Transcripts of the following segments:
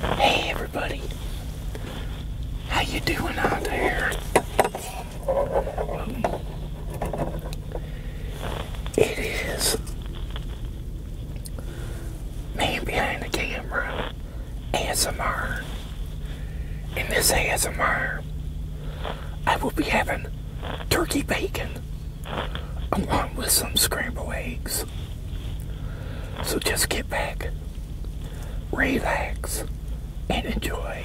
Hey everybody, how you doing out there? It is man behind the camera, ASMR. In this ASMR, I will be having turkey bacon along with some scrambled eggs. So just get back, relax, and enjoy.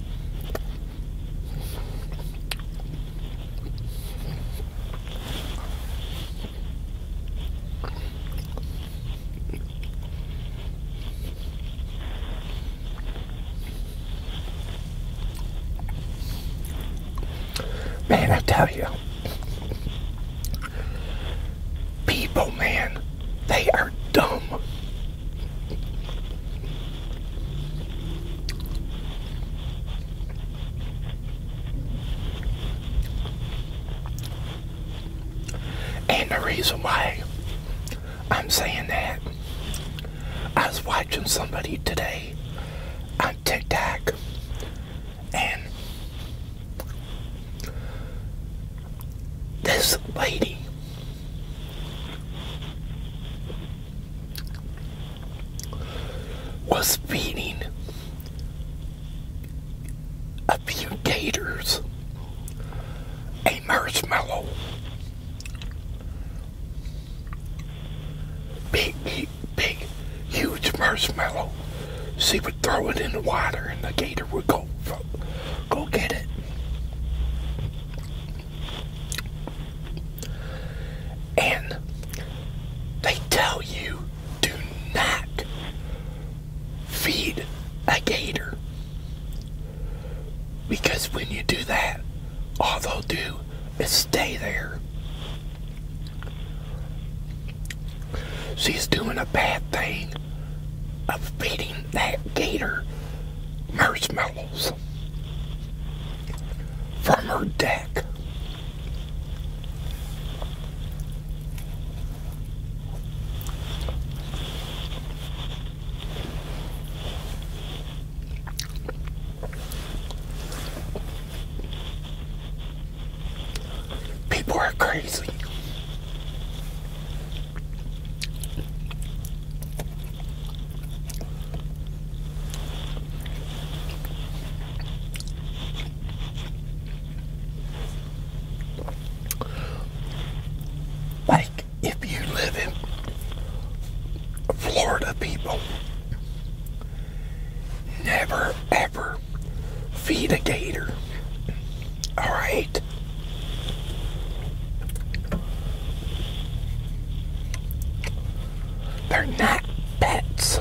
Man, I tell you, people, man, they are dumb. And the reason why I'm saying that, I was watching somebody today on TikTok, and this lady was feeding a few gators a marshmallow big big huge marshmallow she would throw it in the water and the gator would go go, get it. And they tell you do not feed a gator because when you do that, all they'll do is stay there. She's doing a bad thing of feeding that gator marshmallows from her deck. People are crazy. Like if you live in Florida, people never ever feed a gator. All right. They're not pets.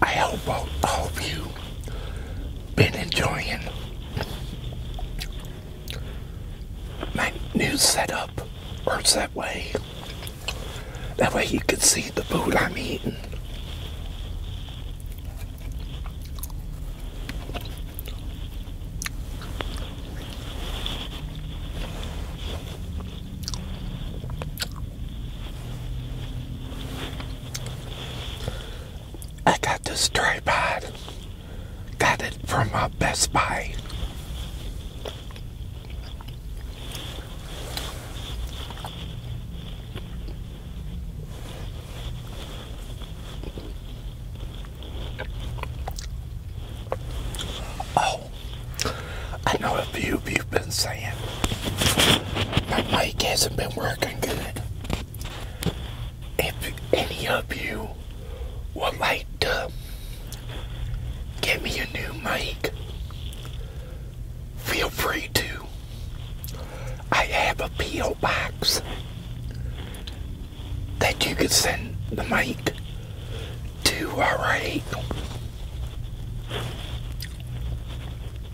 I hope all of you been enjoying my new setup works that way. That way you can see the food I'm eating. I got this tripod. Got it from my Best Buy. Oh, I know a few of you've been saying my mic hasn't been working good if any of you would like to get me a new mic, feel free to. I have a P.O. box that you can send the mic to, alright?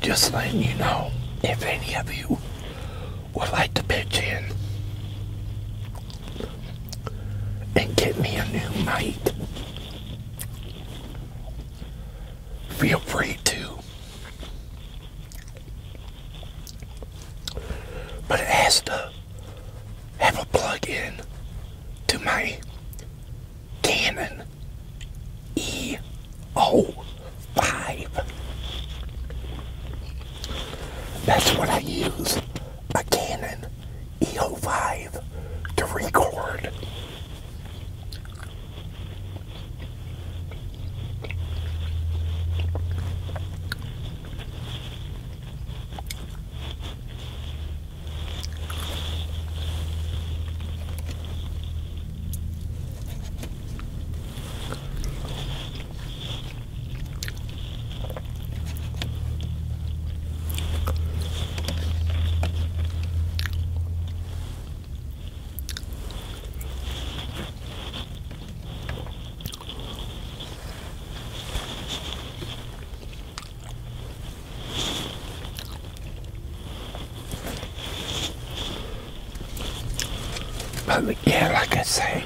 Just letting you know if any of you would like to pitch in and get me a new mate. Feel free to. But it has to have a plug in to my Canon E05. That's what I use, a Canon EO5 to record. But yeah, like I say,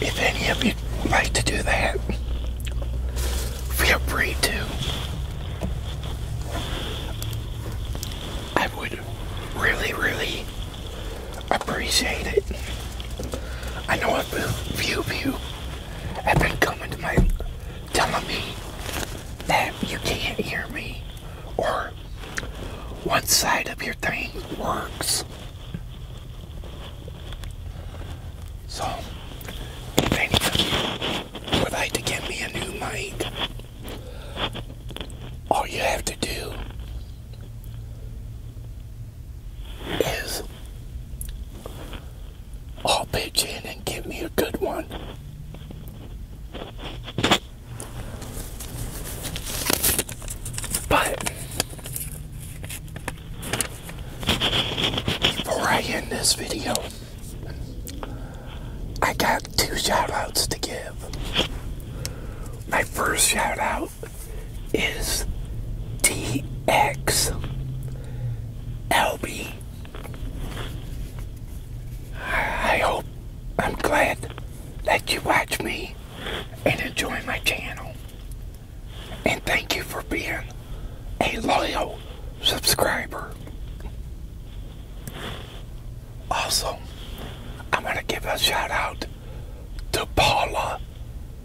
if any of you like to do that, feel free to. I would really, really appreciate it. I know a few of have been coming to my telling me that you can't hear me or one side of your thing works. So, if any would like to get me a new mic, all you have to do is I'll pitch in and give me a good one. But before I end this video, I got two shoutouts to give. My first shoutout is TX LB. I hope I'm glad that you watch me and enjoy my channel. And thank you for being a loyal subscriber. Also, I'm going to give a shout out to Paula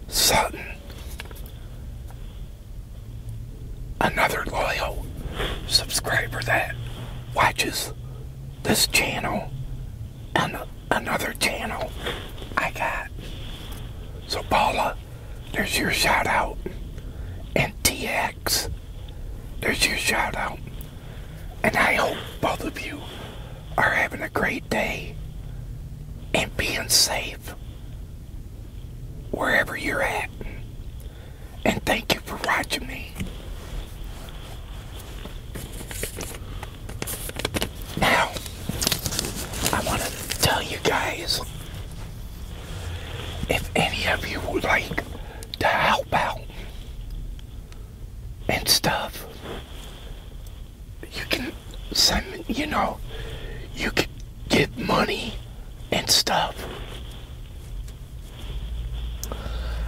Sutton, another loyal subscriber that watches this channel and another channel I got. So, Paula, there's your shout out. And TX. There's your shout out. And I hope both of you are having a great day and being safe wherever you're at. And thank you for watching me. Now, I want to tell you guys if any of you would like to help out and stuff, you can send, you know, you can give money and stuff.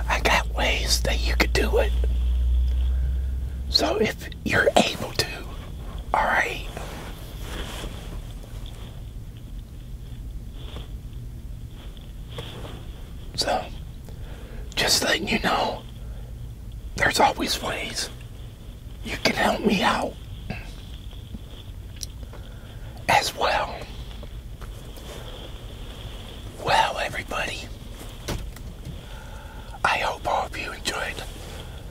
I got ways that you could do it. So if you're able to. Alright? So, just letting you know, there's always ways you can help me out as well. Well, everybody, I hope all of you enjoyed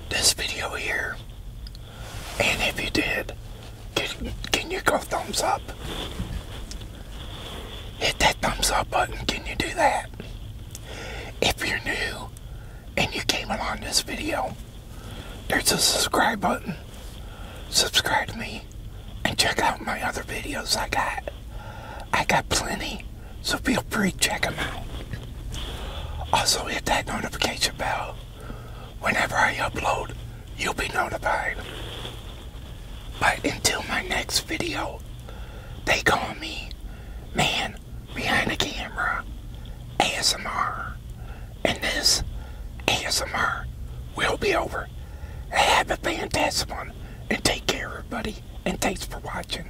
this video here. And if you did, can, can you go thumbs up? Hit that thumbs up button. Can you do that? If you're new and you came along this video, there's a subscribe button. Subscribe to me and check out my other videos I got. I got plenty. So feel free to check them out. Also hit that notification bell. Whenever I upload, you'll be notified. But until my next video, they call me Man Behind the Camera ASMR. And this ASMR will be over. Have a fantastic one. And take care, everybody. And thanks for watching.